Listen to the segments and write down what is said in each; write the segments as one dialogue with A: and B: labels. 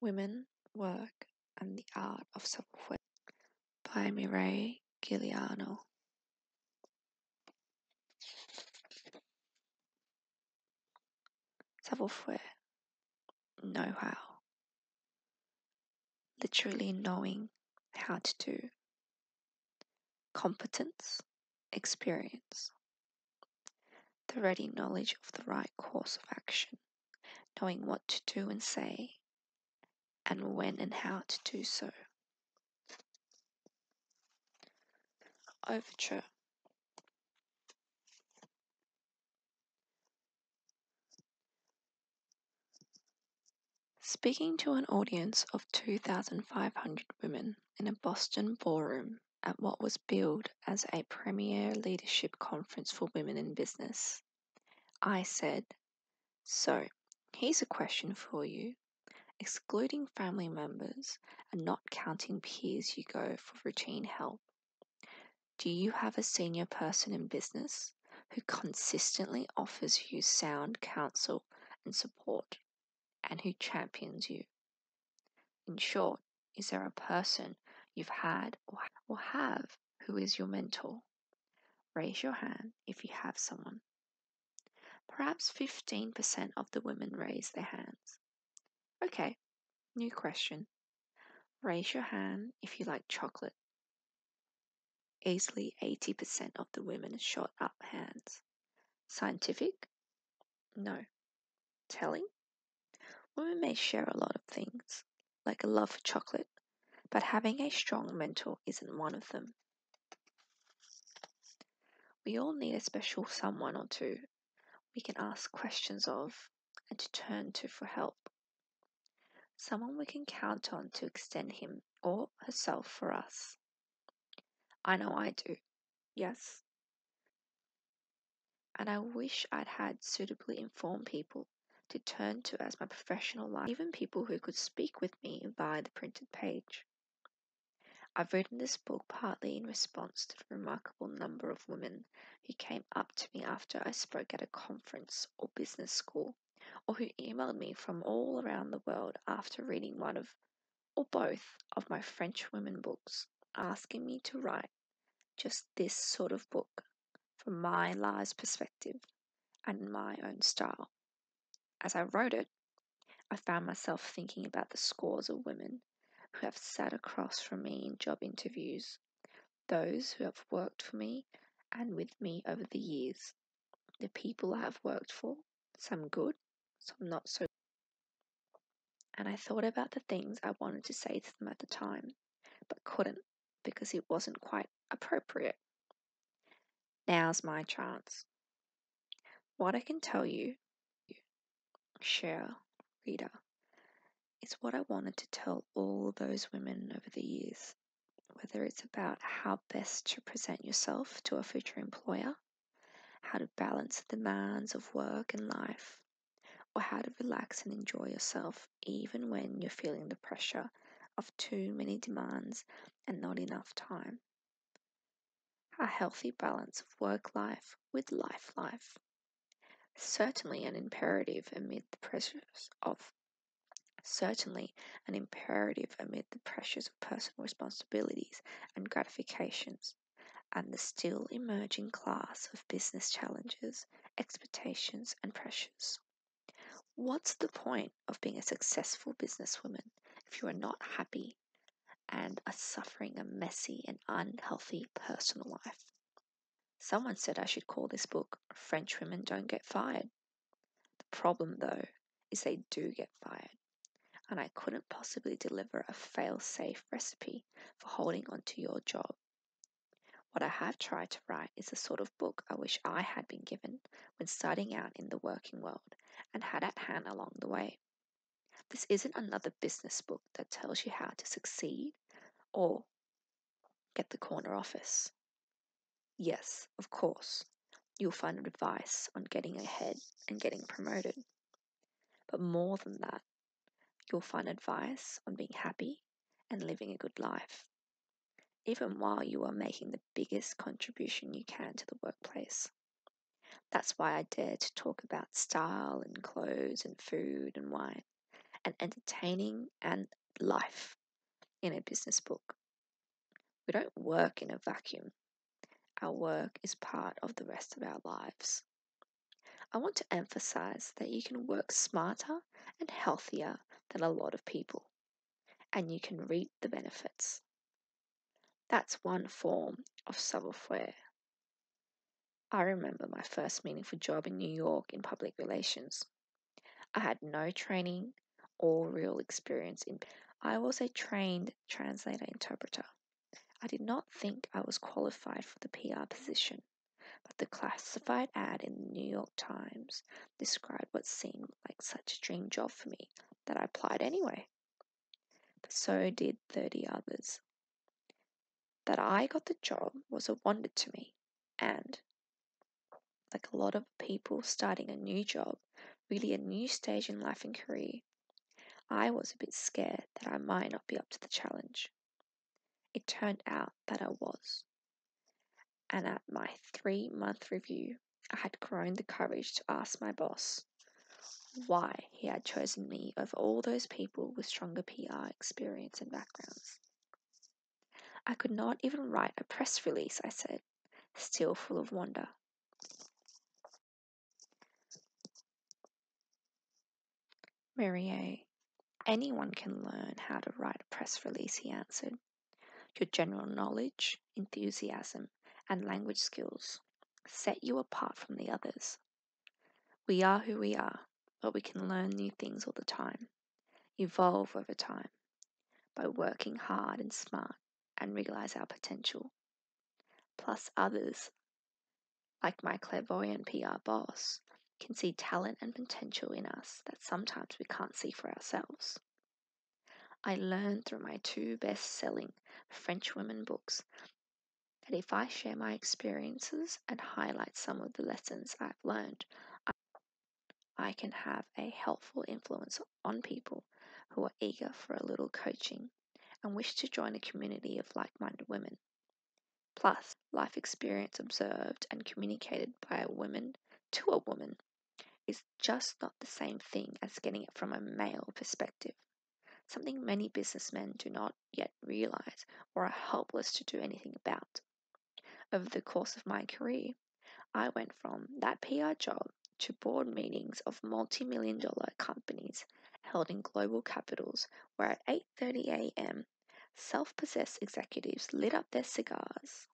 A: Women, Work, and the Art of Self-Will by Mireille Giuliano. Self-Aware know how. Literally knowing how to do. Competence, experience. The ready knowledge of the right course of action, knowing what to do and say, and when and how to do so. Overture. Speaking to an audience of 2,500 women in a Boston ballroom at what was billed as a premier leadership conference for women in business, I said, So, here's a question for you. Excluding family members and not counting peers you go for routine help. Do you have a senior person in business who consistently offers you sound counsel and support and who champions you? In short, is there a person you've had or have who is your mentor? Raise your hand if you have someone. Perhaps 15% of the women raise their hands. Okay, new question. Raise your hand if you like chocolate. Easily 80% of the women shot up hands. Scientific? No. Telling? Women may share a lot of things, like a love for chocolate, but having a strong mentor isn't one of them. We all need a special someone or two we can ask questions of and to turn to for help. Someone we can count on to extend him or herself for us. I know I do. Yes. And I wish I'd had suitably informed people to turn to as my professional life, even people who could speak with me via the printed page. I've written this book partly in response to the remarkable number of women who came up to me after I spoke at a conference or business school or who emailed me from all around the world after reading one of or both of my French women books, asking me to write just this sort of book from my lives perspective and my own style. As I wrote it, I found myself thinking about the scores of women who have sat across from me in job interviews those who have worked for me and with me over the years, the people I have worked for, some good, some not so. And I thought about the things I wanted to say to them at the time, but couldn't because it wasn't quite appropriate. Now's my chance. What I can tell you, share, reader, is what I wanted to tell all those women over the years whether it's about how best to present yourself to a future employer, how to balance the demands of work and life, or how to relax and enjoy yourself even when you're feeling the pressure of too many demands and not enough time. A healthy balance of work life with life life. Certainly an imperative amid the pressures of Certainly an imperative amid the pressures of personal responsibilities and gratifications, and the still emerging class of business challenges, expectations, and pressures. What's the point of being a successful businesswoman if you are not happy and are suffering a messy and unhealthy personal life? Someone said I should call this book French Women Don't Get Fired. The problem, though, is they do get fired, and I couldn't possibly deliver a fail safe recipe for holding on to your job. What I have tried to write is the sort of book I wish I had been given when starting out in the working world and had at hand along the way. This isn't another business book that tells you how to succeed or Get the corner office. Yes, of course, you'll find advice on getting ahead and getting promoted. But more than that, you'll find advice on being happy and living a good life, even while you are making the biggest contribution you can to the workplace. That's why I dare to talk about style and clothes and food and wine, and entertaining and life in a business book. We don't work in a vacuum. Our work is part of the rest of our lives. I want to emphasize that you can work smarter and healthier than a lot of people, and you can reap the benefits. That's one form of self-aware. I remember my first meaningful job in New York in public relations. I had no training or real experience in. I was a trained translator interpreter. I did not think I was qualified for the PR position, but the classified ad in the New York Times described what seemed like such a dream job for me that I applied anyway. so did 30 others. That I got the job was a wonder to me, and like a lot of people starting a new job, really a new stage in life and career, I was a bit scared that I might not be up to the challenge. It turned out that I was. And at my three month review, I had grown the courage to ask my boss why he had chosen me over all those people with stronger PR experience and backgrounds. I could not even write a press release, I said, still full of wonder. Merrier, anyone can learn how to write a press release, he answered. Your general knowledge, enthusiasm, and language skills set you apart from the others. We are who we are, but we can learn new things all the time evolve over time by working hard and smart and realize our potential. Plus, others, like my clairvoyant PR boss, can see talent and potential in us that sometimes we can't see for ourselves. I learned through my two best selling French women books that if I share my experiences and highlight some of the lessons I've learned, I can have a helpful influence on people who are eager for a little coaching and wish to join a community of like minded women. Plus, life experience observed and communicated by a woman to a woman is just not the same thing as getting it from a male perspective, something many businessmen do not yet realize or are helpless to do anything about. Over the course of my career, I went from that PR job to board meetings of multi-million dollar companies held in global capitals where at 8:30 a.m. self-possessed executives lit up their cigars.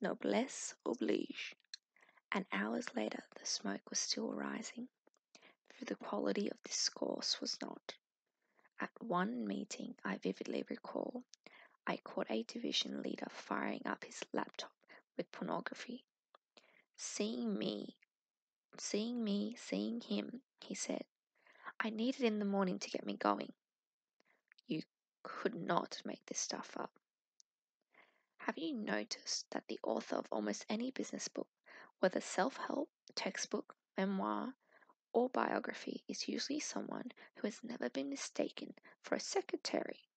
A: Noblesse oblige. And hours later the smoke was still rising, for the quality of discourse was not. At one meeting I vividly recall I caught a division leader firing up his laptop with pornography. Seeing me, seeing me, seeing him, he said, I need it in the morning to get me going. You could not make this stuff up. Have you noticed that the author of almost any business book, whether self help, textbook, memoir, or biography is usually someone who has never been mistaken for a secretary.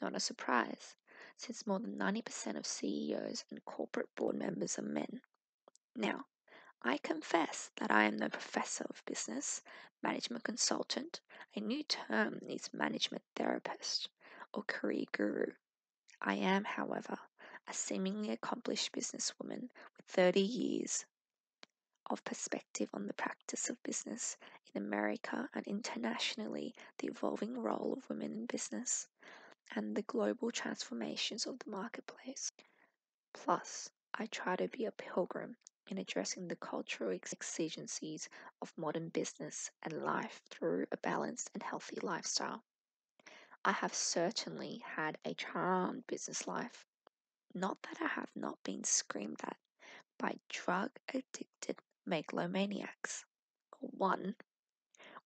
A: Not a surprise, since more than 90% of CEOs and corporate board members are men. Now, I confess that I am no professor of business, management consultant, a new term needs management therapist, or career guru. I am, however, a seemingly accomplished businesswoman with 30 years of perspective on the practice of business in America and internationally, the evolving role of women in business, and the global transformations of the marketplace. Plus, I try to be a pilgrim in addressing the cultural exigencies of modern business and life through a balanced and healthy lifestyle. I have certainly had a charmed business life, not that I have not been screamed at by drug addicted megalomaniacs, or one,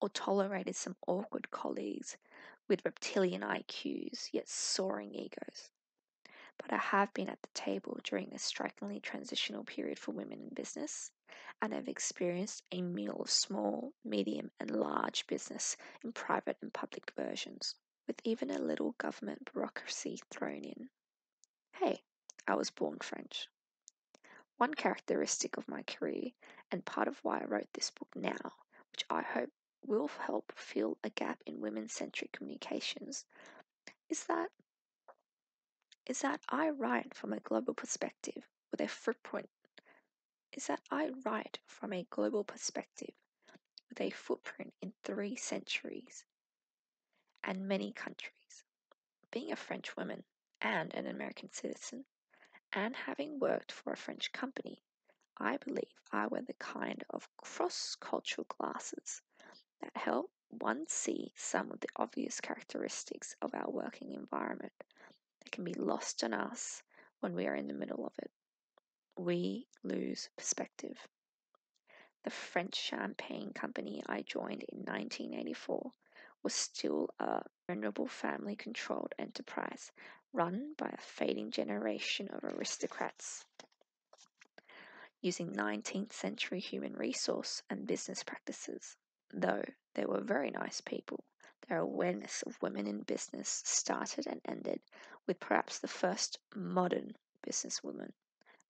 A: or tolerated some awkward colleagues with reptilian IQs yet soaring egos. But I have been at the table during a strikingly transitional period for women in business, and have experienced a meal of small, medium, and large business in private and public versions with even a little government bureaucracy thrown in. Hey, I was born French. One characteristic of my career, and part of why I wrote this book now, which I hope will help fill a gap in women centric communications, is that is that I write from a global perspective with a footprint is that I write from a global perspective with a footprint in three centuries and many countries. Being a French woman and an American citizen, and having worked for a French company, I believe I wear the kind of cross cultural glasses that help one see some of the obvious characteristics of our working environment that can be lost on us when we are in the middle of it we lose perspective. The French champagne company I joined in 1984 was still a venerable family controlled enterprise run by a fading generation of aristocrats. Using 19th century human resource and business practices, though they were very nice people, their awareness of women in business started and ended with perhaps the first modern businesswoman,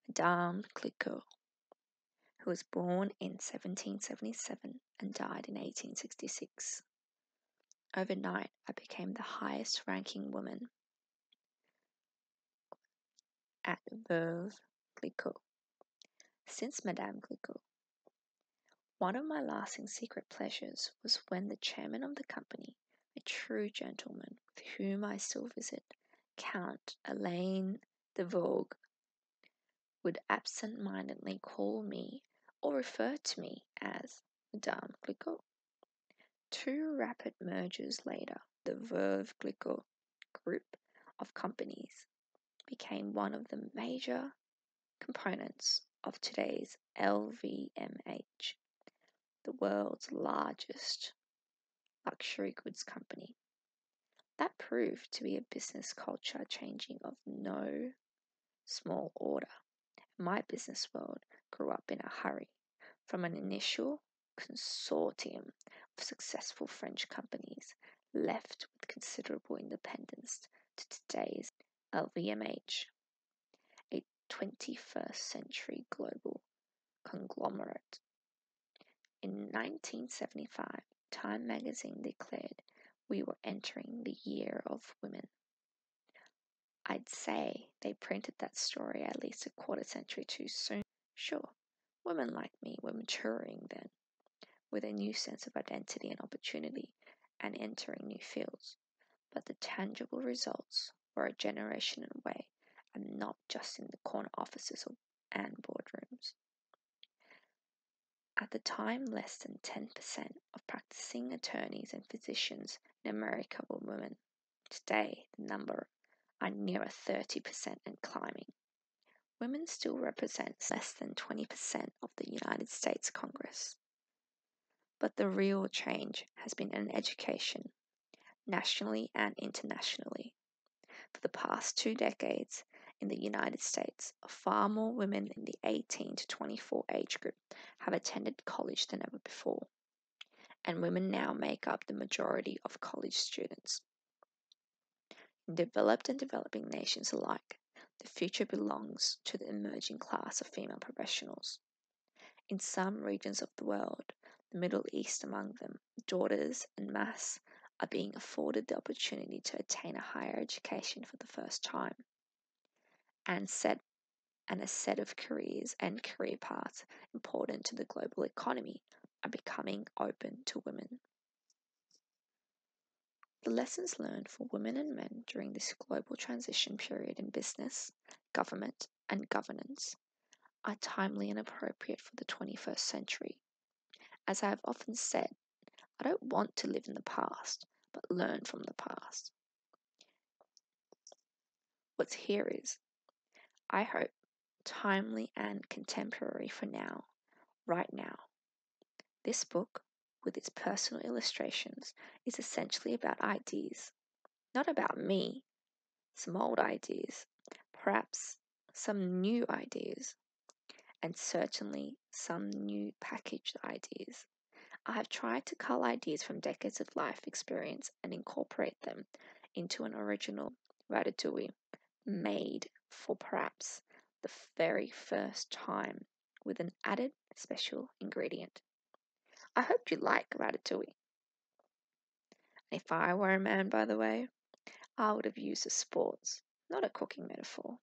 A: Madame Cliquot, who was born in 1777 and died in 1866. Overnight, I became the highest ranking woman at Veuve Clicquot. Since Madame Clicquot, one of my lasting secret pleasures was when the chairman of the company a true gentleman with whom I still visit, Count Elaine de Vogue, would absent mindedly call me or refer to me as Madame Glicko. Two rapid mergers later, the Verve Glicko group of companies became one of the major components of today's LVMH the world's largest luxury goods company. That proved to be a business culture changing of no small order. My business world grew up in a hurry from an initial consortium of successful French companies left with considerable independence to today's LVMH, 21st century global conglomerate. In 1975, Time magazine declared we were entering the year of women. I'd say they printed that story at least a quarter century too soon. Sure, women like me were maturing then, with a new sense of identity and opportunity and entering new fields. But the tangible results were a generation away and not just in the corner offices and boardrooms. At the time, less than 10% of practicing attorneys and physicians in America were women. Today, the number are nearer 30% and climbing. Women still represent less than 20% of the United States Congress. But the real change has been in education nationally and internationally. For the past two decades in the United States, far more women in the 18 to 24 age group have attended college than ever before, and women now make up the majority of college students. In developed and developing nations alike, the future belongs to the emerging class of female professionals. In some regions of the world, the Middle East among them, daughters en mass are being afforded the opportunity to attain a higher education for the first time, and set and a set of careers and career paths important to the global economy are becoming open to women. The lessons learned for women and men during this global transition period in business, government, and governance are timely and appropriate for the 21st century. As I have often said, I don't want to live in the past, but learn from the past. What's here is, I hope, timely and contemporary for now, right now. This book, with its personal illustrations, is essentially about ideas, not about me. Some old ideas, perhaps some new ideas, and certainly some new packaged ideas. I have tried to cull ideas from decades of life experience and incorporate them into an original ratatouille
B: made
A: for perhaps the very first time with an added special ingredient. I hoped you like ratatouille. If I were a man, by the way, I would have used a sports, not a cooking metaphor.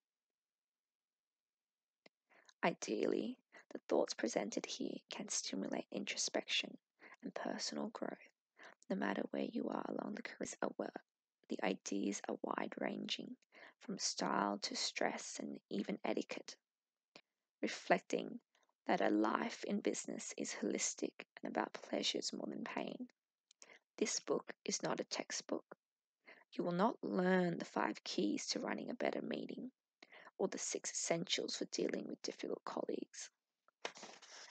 A: Ideally, the thoughts presented here can stimulate introspection and personal growth, no matter where you are along the careers at The ideas are wide ranging, from style to stress and even etiquette reflecting that a life in business is holistic and about pleasures more than pain. This book is not a textbook. You will not learn the five keys to running a better meeting or the six essentials for dealing with difficult colleagues.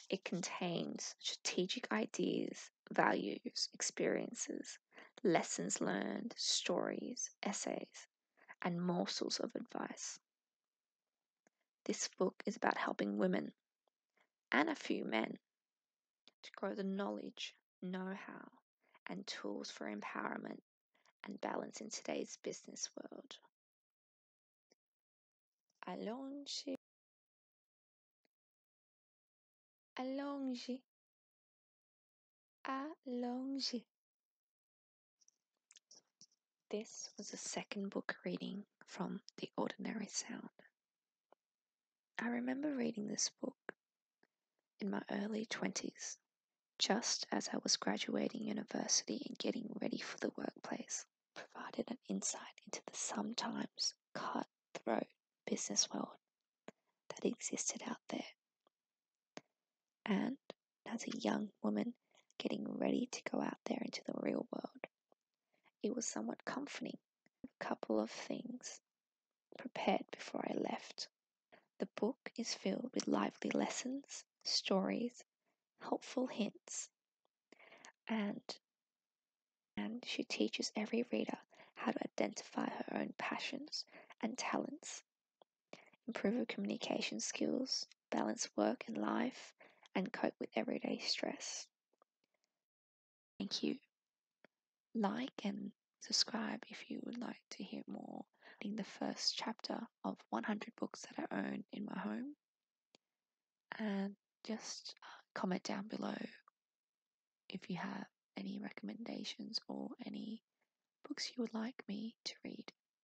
A: It contains strategic ideas, values, experiences, lessons learned, stories, essays, and morsels of advice. This book is about helping women and a few men to grow the knowledge, know how, and tools for empowerment and balance in today's business world. Allonge. Allonge. Allonge. This was a second book reading from The Ordinary Sound. I remember reading this book in my early 20s, just as I was graduating university and getting ready for the workplace, provided an insight into the sometimes cutthroat business world that existed out there. And as a young woman getting ready to go out there into the real world, it was somewhat comforting. A couple of things prepared before I left. The book is filled with lively lessons, stories, helpful hints, and and she teaches every reader how to identify her own passions and talents improve your communication skills, balance work and life, and cope with everyday stress. Thank you. Like and subscribe if you would like to hear more. In the first chapter of 100 books that I own in my home, and just uh, comment down below if you have any recommendations or any books you would like me to read.